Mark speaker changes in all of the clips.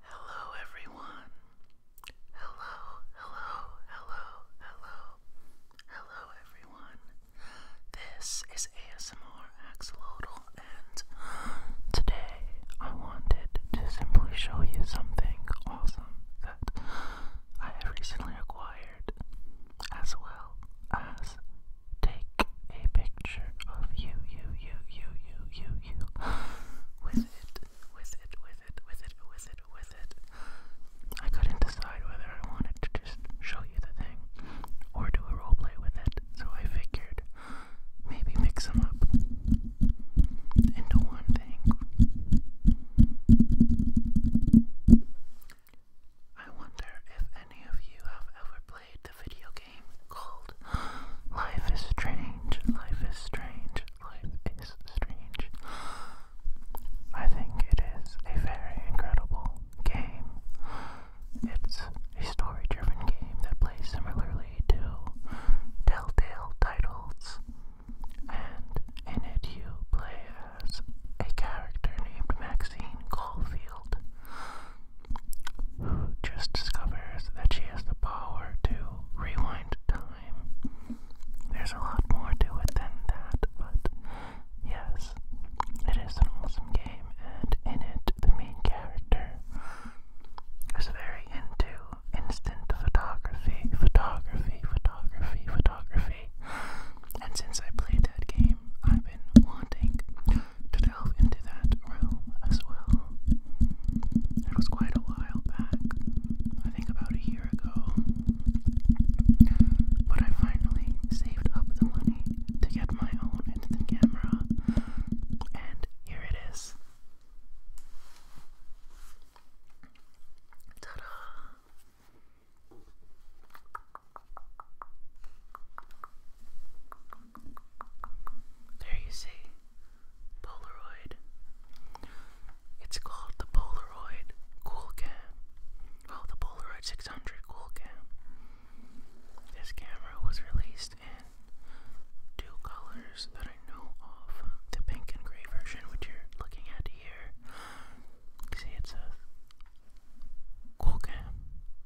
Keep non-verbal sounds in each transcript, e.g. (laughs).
Speaker 1: Hello, everyone. Hello, hello, hello, hello, hello, everyone. This is ASMR Axolotl, and today I wanted to simply show you something awesome that I have recently acquired, as well as take a picture of you, you, you, you, you, you, you with it, with it, with it, with it, with it, with it. I couldn't decide whether I wanted to just show you the thing or do a roleplay with it, so I figured maybe mix them up into one thing. I wonder if any of you have ever played the video called Life is Strange. Life is Strange. Life is Strange. I think it is a very incredible game. It's a story driven game that plays similarly to Telltale titles, and in it you play as a character named Maxine Caulfield who just discovers that she has the power to rewind time. There's a lot more to it than that, but yes, it is an awesome game, and in it, the main character is very into instant photography, photography, photography, photography. And since I played that game, I've been wanting to into that realm as well. It was quite a while back, I think about a year ago, but I finally saved up the money to get my own instant camera, and here it is. Ta da! There you see. Polaroid. It's called the Polaroid Cool Cam. Well, the Polaroid 600 Cool Cam. This camera was released in two colors that I know of. The pink and gray version, which you're looking at here. See, it says Cool Cam,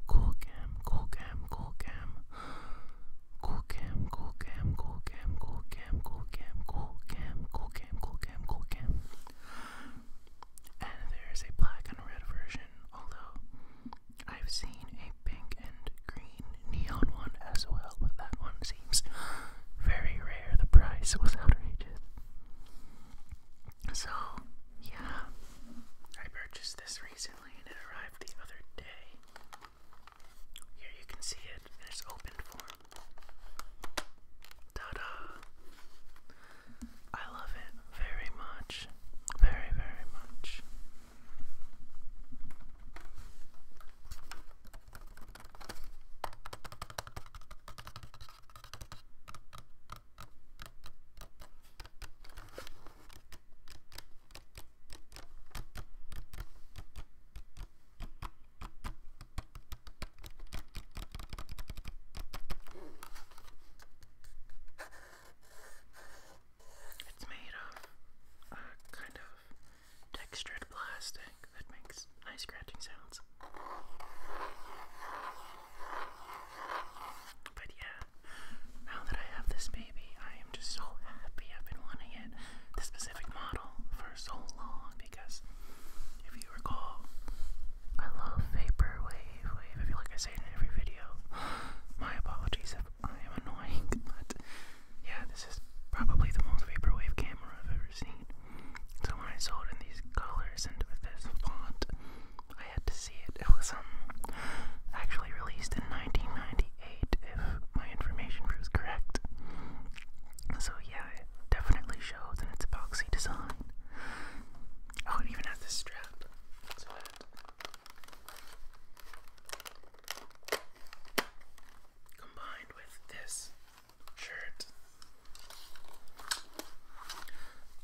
Speaker 1: Cool Cam, Cool Cam, Cool Cam. Cool cam, cool cam, cool cam, cool cam, cool cam, cool cam, cool cam, cool cam, cool cam. And there is a black and red version, although I've seen a pink and green neon one as well, but that one seems very rare. The price was outrageous. So, yeah, I purchased this recently and it arrived the other day. Here you can see it its open form. Ta da! I love it very much. Very, very much. It's made of a kind of textured plastic that makes nice scratching sounds. But yeah, now that I have this baby. I am just so happy. I've been wanting it, this specific model, for so long because if you recall, I love vaporwave wave. I feel like I say it in every video. (gasps) My apologies if I am annoying, but yeah, this is probably the most vaporwave camera I've ever seen. So when I saw it in these colors and with this font, I had to see it. It was um, actually released in 1990 eight, if my information proves correct. So yeah, it definitely shows in its epoxy design. Oh, it even has this strap. So that combined with this shirt,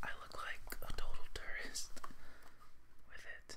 Speaker 1: I look like a total tourist with it.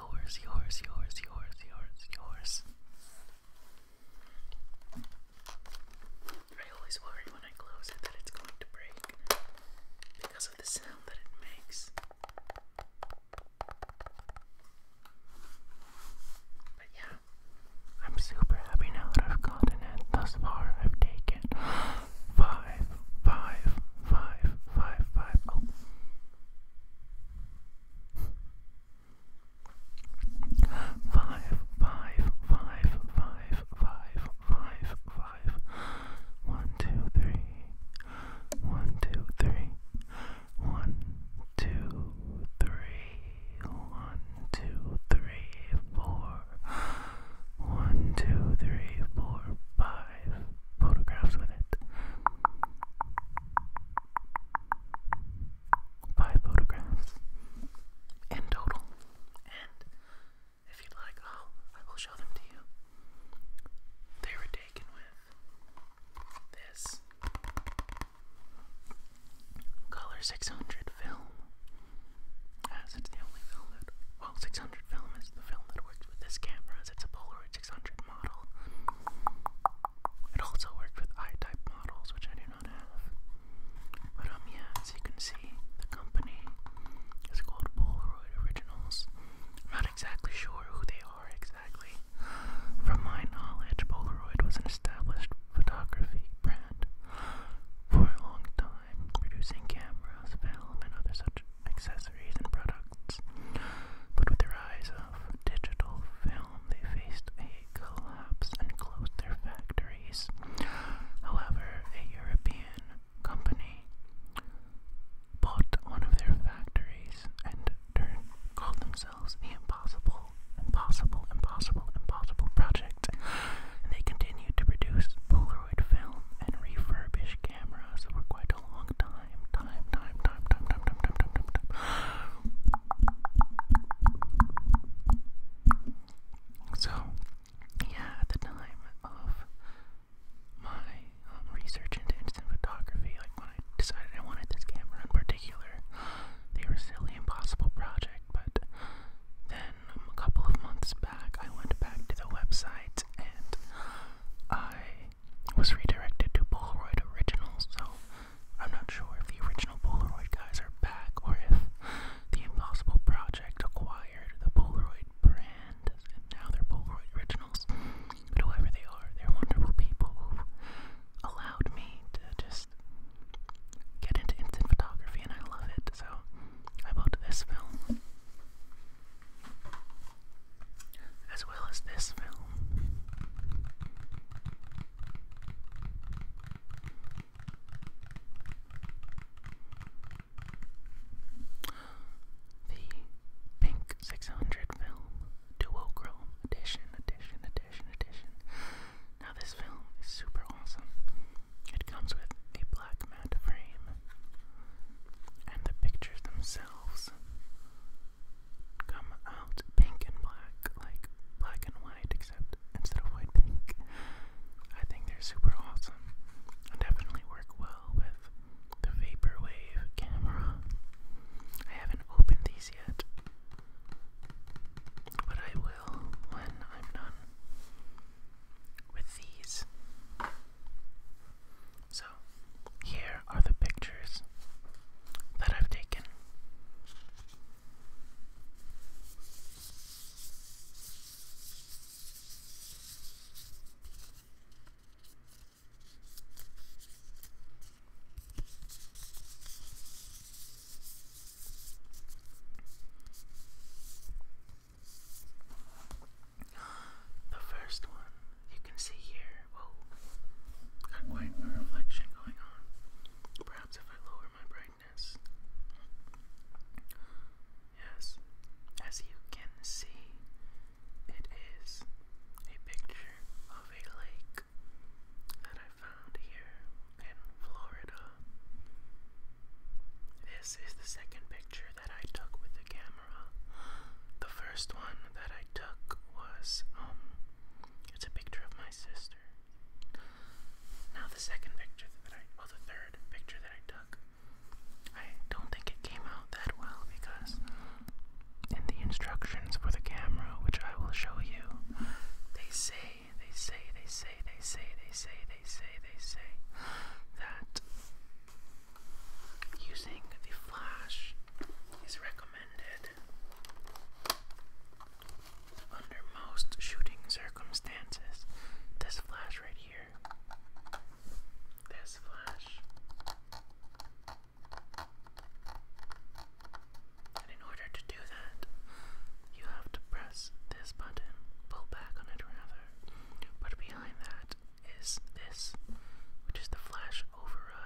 Speaker 1: yours, yours, yours, yours, yours, yours. I always worry when I close it that it's going to break because of the sound that it makes. But yeah, I'm super happy now that I've gotten Thus far, I've taken (gasps) five, five, five, five, five. Oh. Five, five, five, five, five, five, five. One, two, three. One, two, three. One, two, three. One, two, three, four. One, two, three, four, five. Photographs with it five photographs in total. And if you'd like, oh, I will show them to you. They were taken with this Color 600 film. As it's the only film that, well, 600 film is the film that works with this camera, as it's a Polaroid 600 model. It also worked with I-type models, which I do not have. But um, yeah, as you can see, the company is called Polaroid Originals. I'm not exactly sure who they are exactly. From my knowledge, Polaroid was an established photography brand for a long time, producing cameras, film, and other such accessories and products. But with the rise of digital film, they faced a collapse and closed their factories. However, a European company bought one of their factories and turned, called themselves the Impossible, Impossible, Impossible, Impossible Project. And they continued to produce Polaroid film and refurbish cameras for quite a long time time, time, time, time, time, time, time, time, time, time. So, yeah, at the time of my research into instant photography, like when I decided I wanted this camera in particular, they were silly, impossible project. But then a couple of months back, I went back to the website and I was redirected to Polaroid Originals, so I'm not sure if the original Polaroid guys are back or if the Impossible Project acquired the Polaroid brand and now they're Polaroid Originals. But whoever they are, they're wonderful people who allowed me to just get into instant photography and I love it. So I bought this film as well as this film. The Pink 600 film, duochrome edition, edition, edition, edition. Now, this film is super awesome. It comes with a black matte frame, and the pictures themselves come out pink and black, like black and white, except instead of white, pink. I think they're super awesome definitely work well with the Vaporwave camera. I haven't opened these yet, but I will when I'm done with these. So, here are the pictures that I've taken. The first one you can see here, whoa, got quite a reflection going on. Perhaps if I lower my brightness. Yes, as you can see, it is a picture of a lake that I found here in Florida. This is the second picture that I took with the camera. The first one that I took was um it's a picture of my sister. Now the second picture that I, well the third picture that I took, I don't think it came out that well because in the instructions for the camera, which I will show you, they say, they say, they say, they say, they say, they say, they say that using the flash is recommended under most shooting circumstances. This flash right here. This flash. in order to do that, you have to press this button, pull back on it rather. But behind that is this, which is the flash override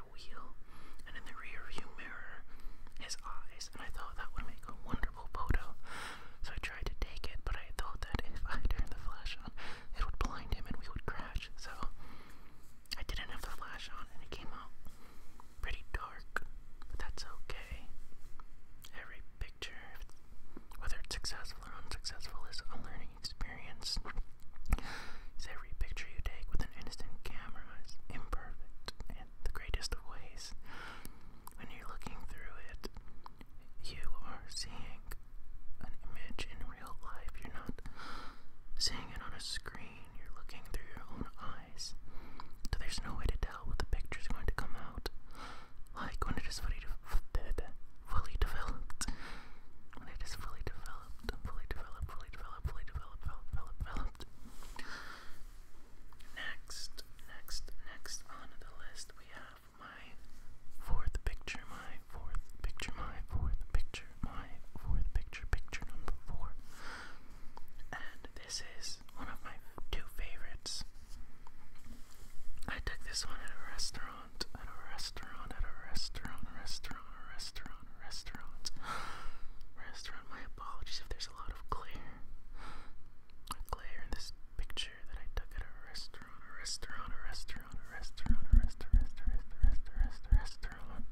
Speaker 1: wheel and in the rear mirror his eyes, and I thought that would make a wonderful photo. So I tried to take it, but I thought that if I turned the flash on, it would blind him and we would crash. So I didn't have the flash on, and it came out pretty dark, but that's okay. Every picture, whether it's successful or unsuccessful, is a learning experience. Is Every picture you take with an instant camera is imperfect in the greatest of ways. When you're looking through it, you are seeing an image in real life. You're not seeing it on a screen, you're looking through your own eyes. So there's no way to tell what the picture is going to come out. Like when it is fully, developed. When it is fully developed, fully developed, fully developed develop, fully developed, developed, developed. Next, next, next on the list we have my fourth picture, my fourth picture, my fourth picture, my fourth picture, picture number four. And this is one of my two favorites. I took this one at a restaurant, at a restaurant, at a restaurant, restaurant, restaurant, restaurant, (gasps) restaurant. Restaurant apologies if there's a lot of glare. Glare in this picture that I took at a restaurant, a restaurant, a restaurant, a restaurant, a restaurant, a restaurant, a restaurant.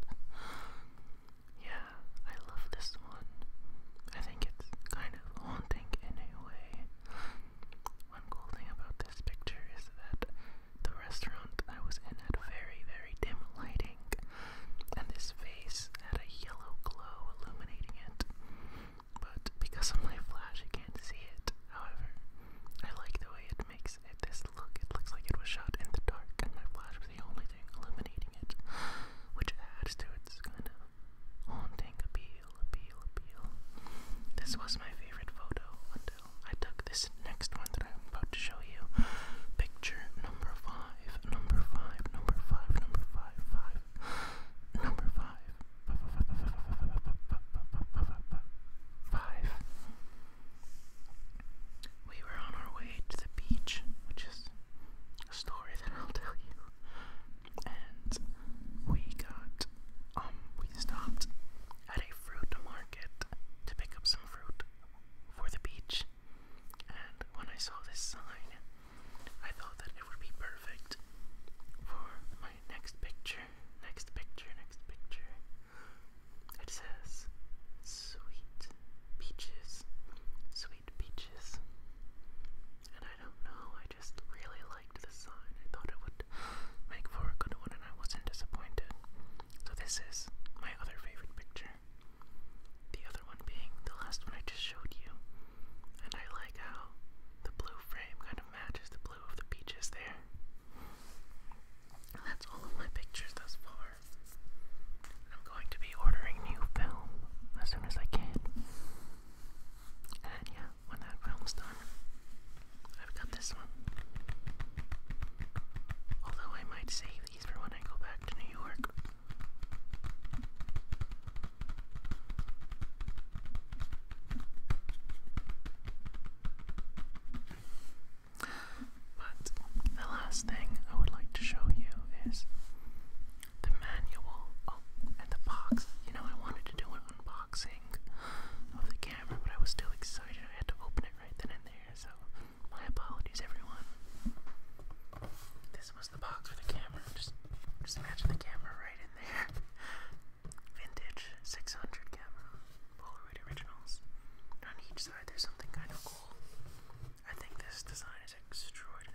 Speaker 1: Yeah, I love this one. I think it's kind of haunting in a way. One cool thing about this picture is that the restaurant I was in had very, very dim lighting, and this face had a yellow glow illuminating it. But because of my flash, I can't see it. However, I like the way it makes this look. It looks like it was shot in the dark, and my flash was the only thing illuminating it, which adds to its kind of haunting appeal, appeal, appeal. This was my favorite photo until I took this next one that I'm about to show you. Picture number five number five, number five, number five, five, number five, five. We were on our way to the beach, which is a story that I'll tell you. And we got, um, we stopped at a fruit market to pick up some fruit for the beach. And when I saw this sign, I thought that it would be perfect for my next picture. Next picture, next picture. It says sweet peaches. Sweet peaches. And I don't know, I just really liked the sign. I thought it would make for a good one, and I wasn't disappointed. So this is my other favorite picture. The other one being the last one I just showed you. And I like how the blue frame kind of matches the blue of the beaches there. that's all of my pictures thus far. I'm going to be ordering new film as soon as I can. And yeah, when that film's done, I've got this one. Although I might save these for when I go back to New York. But the last thing I would like to show you is the manual and the box. You know, I wanted to do an unboxing of the camera, but I was still excited. I had to open it right then and there, so my apologies, everyone. This was the box with the camera. Just, just imagine the camera right in there. Vintage 600 camera, Polaroid originals. on each side, there's something kind of cool. I think this design is extraordinary.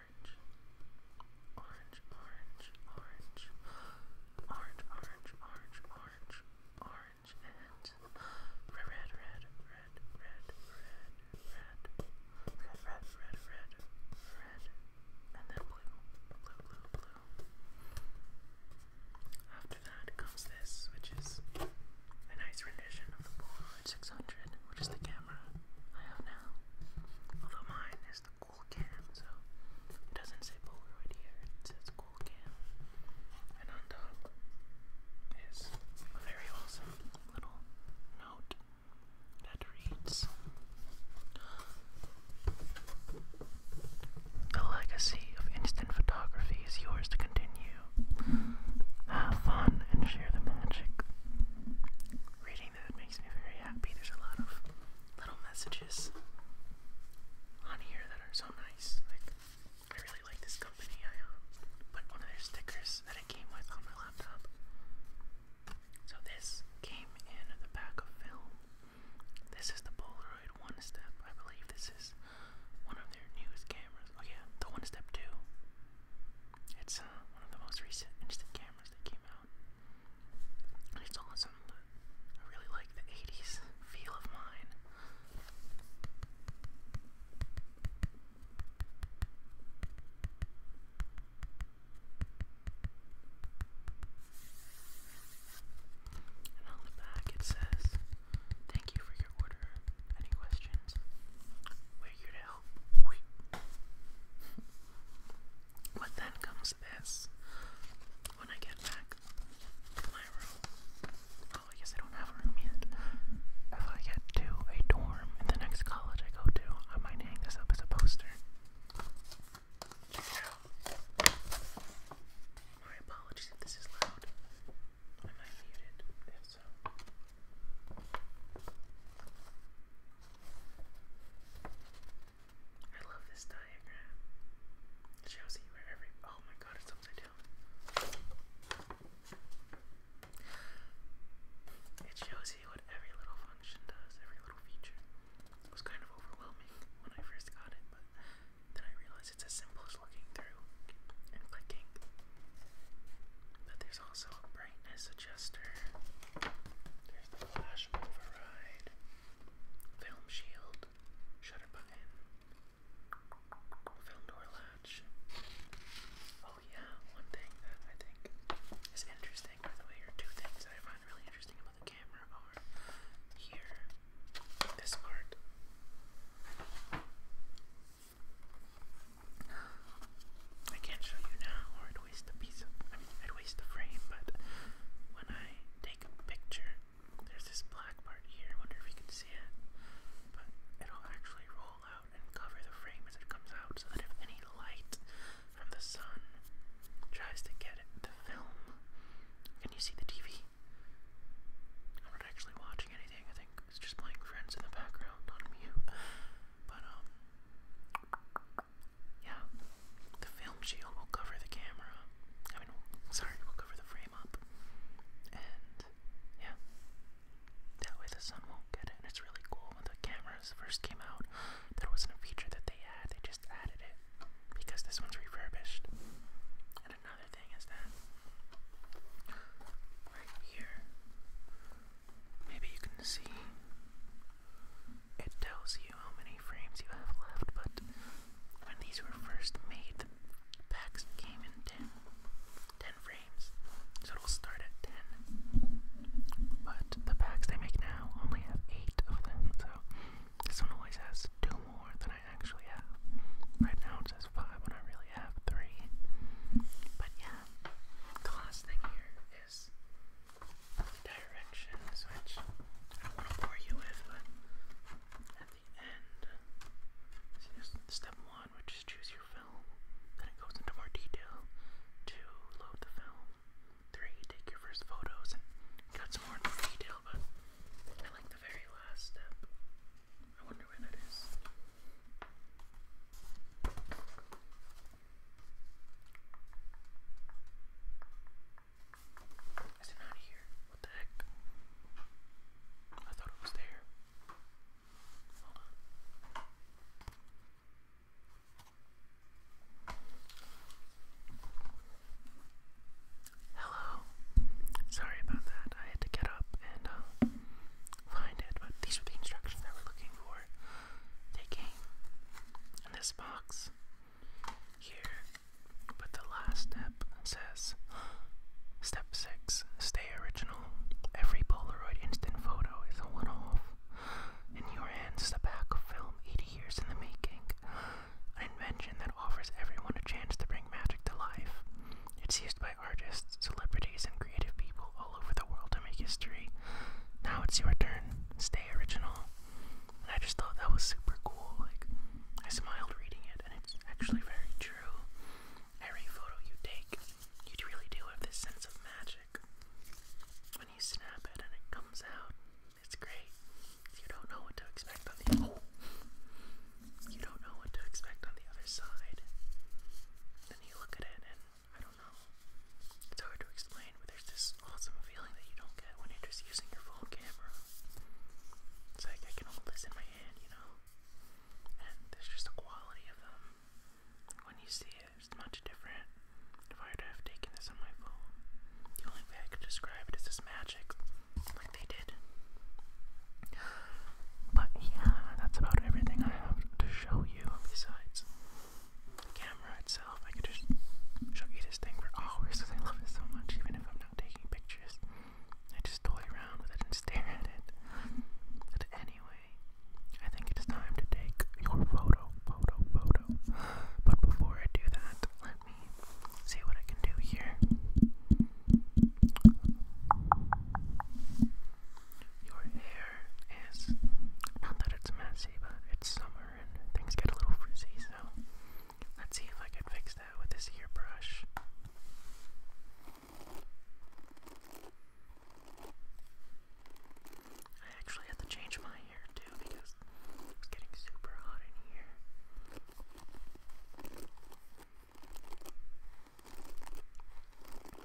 Speaker 1: orange, orange, orange, orange, orange, orange, orange, orange, orange, and red, red, red, red, red, red, red, red, red, red, red, red, and then blue, blue, blue, blue. After that comes this, which is a nice rendition of the Polaroid 600, which is the camera camera I have now. Although mine is the cool cam, so it doesn't say Polaroid here, it says cool cam. And on top a very awesome little note that reads The legacy of instant photography is yours to continue. Have fun and share the magic reading that makes me very happy. There's a lot of little messages on here that are so nice. Like, I really like this company. I um, put one of their stickers that it came with on my laptop. So this came in the pack of film. This is the Polaroid One Step. I believe this is one of their newest cameras. Oh yeah, the One Step Two. It's uh, one of the most recent instant cameras that came out. And it's awesome, I really like the 80s feel of mine. And on the back it says, Thank you for your order. Any questions? figured out. then comes this. When I get back to my room. Oh, I guess I don't have a room yet. If I get to a dorm in the next college I go to, I might hang this up as a poster. My apologies if this is loud. I might mute it I love this diagram. It shows you where every oh my god, it's upside down. It shows you what every little function does, every little feature. It was kind of overwhelming when I first got it, but then I realized it's as simple as looking through and clicking but there's also a brightness adjuster. There's the flash override, film shield, shutter button, film door latch. Oh yeah, one thing that I think is interesting, by the way, or two things that I find really interesting about the camera are here, this part. I can't show you now, or I'd waste a piece I mean, I'd waste the frame, but when I take a picture, there's this black part here. wonder if you can see it. But it'll actually roll out and cover the frame as it comes out so that if any light from the sun tries to get it film, can you see the TV? I'm not actually watching anything, I think. It's just playing friends in the background on mute. But, um, yeah, the film shield will cover the camera. I mean, sorry, we'll cover the frame up. And, yeah, that way the sun won't get it. And it's really cool. When the cameras first came out, there wasn't a feature that they had, they just added it because this one's refurbished. And another thing is that right here, Maybe you can see it tells you how many frames you have left, but when these were first made, the packs came in 10, 10 frames. So it'll start at 10. But the packs they make now only have 8 of them, so this one always has 2 more than I actually have. Right now it says 5 when I really have 3. But yeah, the last thing here is the which I don't want to bore you with, but at the end, step one, which is choose your film. Then it goes into more detail. Two, load the film. Three, take your first photos got some more detail, but I like the very last step. I wonder where that is. Is it not here? What the heck? I thought it was there. Hold on. Hello. Sorry about that. I had to get up and uh, find it, but these were the instructions that we're looking for. They came in this box here, but the last step says Step 6 Stay original. Every Polaroid instant photo is a one off. In your hands, the back of film 80 years in the making. An invention that offers everyone a chance to bring magic to life. It's used by artists, celebrities, and creative people all over the world to make history. Now it's your turn. Stay original. And I just thought that was super cool. Like, I smiled reading it, and it's actually very true. Every photo you take, you really do have this sense of magic. When you snap it and it comes out, it's great. You don't know what to expect on the (laughs) You don't know what to expect on the other side. Then you look at it and I don't know. It's hard to explain, but there's this awesome feeling that you don't get when you're just using your full camera. It's like I can hold this in my hand, you know? And there's just a quality of them. When you see it, it's much different. If I were to have taken this on my phone, the only way I could describe it is this magic, like they did. But yeah, that's about everything I have to show you besides camera itself. I could just show you this thing for hours because I love it so much, even if I'm not taking pictures. I just toy around with it and (laughs) stare at it. But anyway, I think it's time to take your photo, photo, photo. But before I do that, let me see what I can do here your hair is not that it's messy, but it's summer and things get a little frizzy, so let's see if I can fix that with this hairbrush. I actually had to change my hair too because it's getting super hot in here.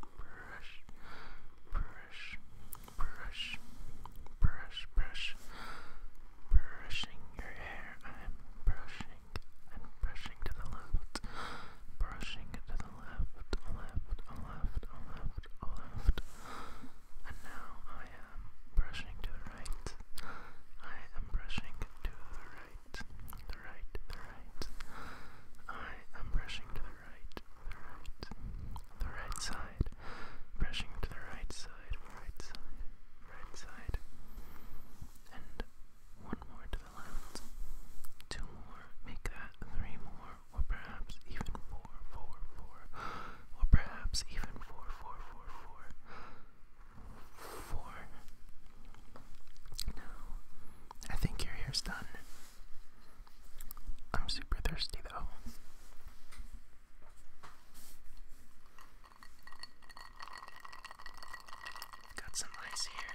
Speaker 1: brush, brush, brush, brush, brush, brushing your hair. I'm brushing, I'm brushing to the left, brushing to the left, left, left, left, left. And now I am brushing to the right. I am brushing to the right, the right, the right. I am brushing to the right, the right, the right side, brushing to the right side, right side, right side, and one more to the left, two more, make that three more, or perhaps even four, four, four, or perhaps even four, four, four, four, four. Now, I think your hair's done. I'm super thirsty though. Got some ice here.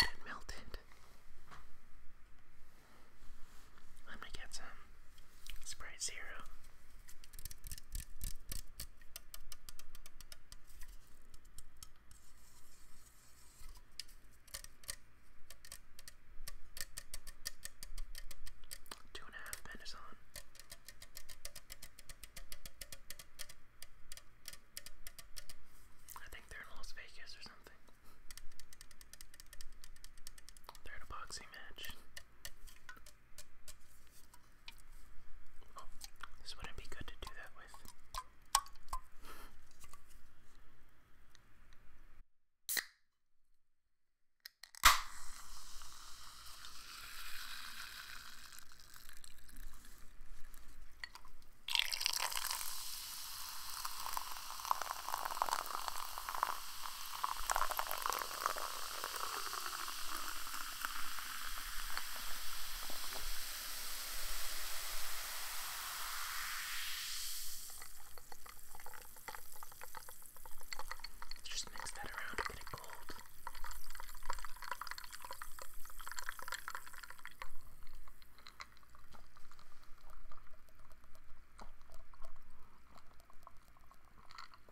Speaker 1: it melted. I'm get some Sprite Zero. Two and a half men is on. I think they're in Las Vegas or something. They're in a boxing match. Oh, this wouldn't be good to do that with. Just mix that around and get it cold.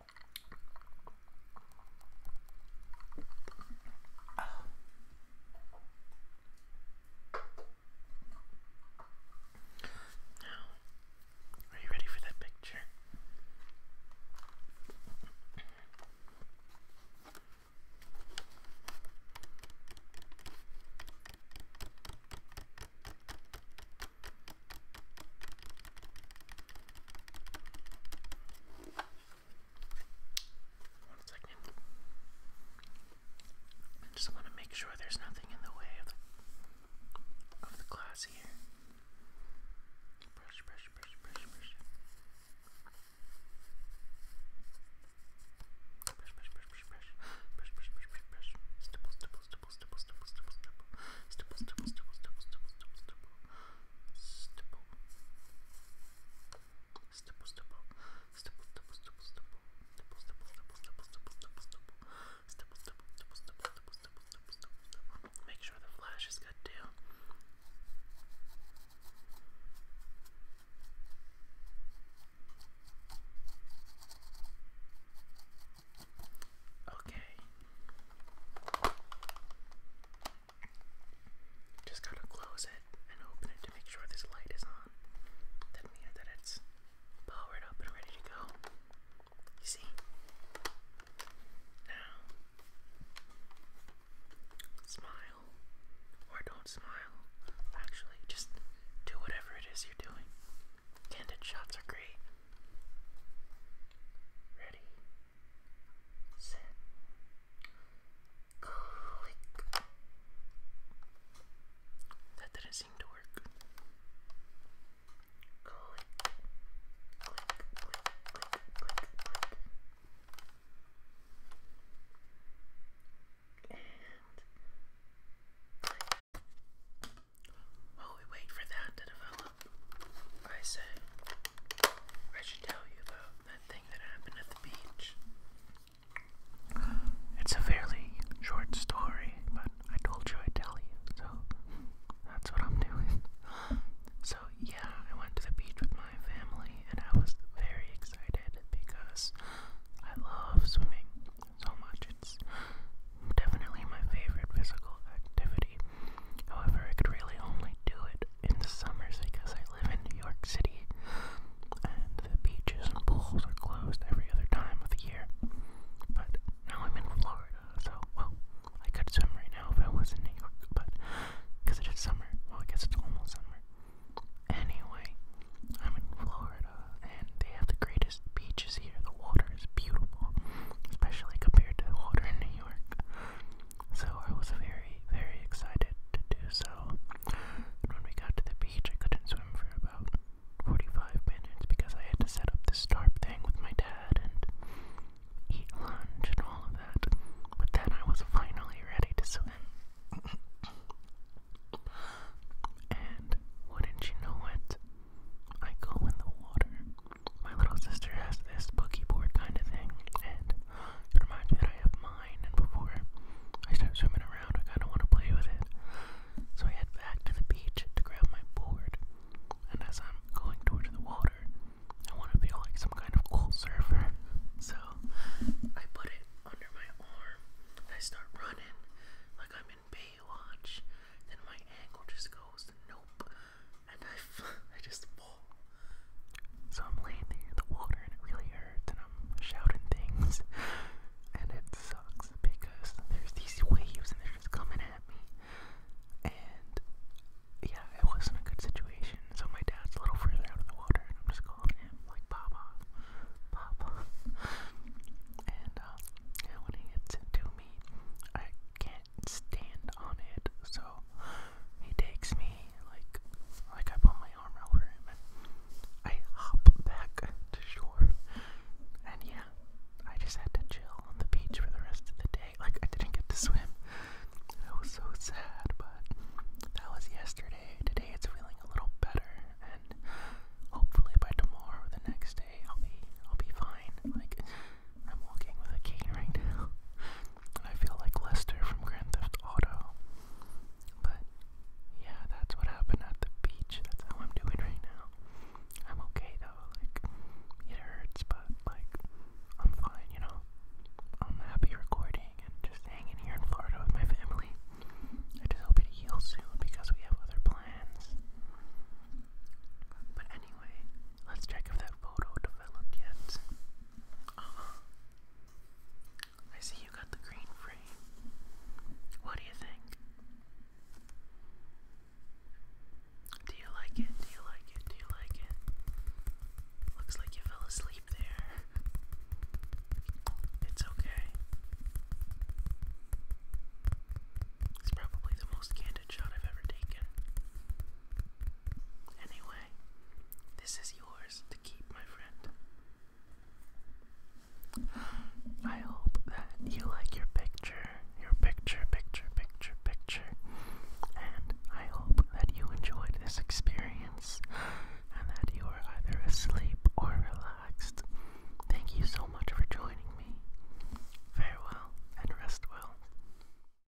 Speaker 1: Oh. Now, are you ready for that picture? One second. I just want to make sure there's nothing in the way of the of the glass here. Brush, brush, brush, brush, brush. Brush, brush, brush, brush, brush. Brush, brush, brush, brush, brush. Stipple, stipple, stipple, stipple, stipple, stipple, stipple. Stipple, stipple, stipple, stipple, stipple, stipple, stipple stipple, stipple, stipple, Make sure the flash is good too. Okay. Just gotta close it and open it to make sure this light is on. That means that it's powered up and ready to go. You see? Now, smile or don't smile. Actually, just do whatever it is you're doing. Candid shots are great. Ready? Set. Click. That didn't seem to work. Click. we wait for that to develop, I said I should tell you about that thing that happened at the beach. It's a fairly short story, but I told you I'd tell you, so that's what I'm doing. So, yeah, I went to the beach with my family, and I was very excited because I love swimming so much. It's definitely my favorite physical activity. However, I could really only do it in the summers because I live in New York City and the beaches and pools are closed every other time of the year. But now I'm in Florida, so, well, I could swim right now if I was in New York, but because it is summer, well, I guess it's almost summer. Anyway, I'm in Florida and they have the greatest beaches here. The water is beautiful, especially compared to the water in New York. So I was very, very excited to do so. when we got to the beach, I couldn't swim for about 45 minutes because I had to set up the starp thing with my dad and eat lunch and all of that. But then I was finally ready to swim. and wouldn't you know it? I go in the water my little sister has this boogie board kind of thing, and it reminds me I have mine, and before I start swimming around, I kind of want to play with it. So I head back to the beach to grab my board, and as I'm going towards the water, I want to feel like some kind of cool surfer. (laughs) So I put it under my arm, and I start running like I'm in Baywatch. Then my ankle just goes, nope and I, (laughs) I just fall. So I'm laying there in the water and it really hurts, and I'm shouting things, and it sucks because there's these waves and they're just coming at me. And yeah, it wasn't a good situation. So my dad's a little further out of the water, and I'm just calling him like Papa, Papa. (laughs) And uh, yeah, when he gets into me, I can't stand on it, so he takes me like like I put my arm over him and I hop back to shore. And yeah, I just had to chill on the beach for the rest of the day. Like I didn't get to swim. It was so sad, but that was yesterday. Today it's feeling a little better and hopefully by tomorrow or the next day I'll be I'll be fine. Like I'm walking with a cane right now. And (laughs) I feel like Lester from Grand Theft Auto. But yeah, that's what happened at the beach. That's how I'm doing right now. I'm okay though. Like it hurts, but like I'm fine, you know. I'm happy recording and just hanging here in Florida with my family. I just hope it heals soon because we have other plans. But anyway, let's check if that photo developed yet. Uh-huh. I see you got the green frame. What do you think? Do you like it? Do you like it? Do you like it? Looks like you fell asleep there. It's okay. It's probably the most candid shot I've ever taken. Anyway, this is yours to keep, my friend. I hope that you like your picture, your picture, picture, picture, picture. And I hope that you enjoyed this experience and that you are either asleep or relaxed. Thank you so much for joining me. Farewell and rest well.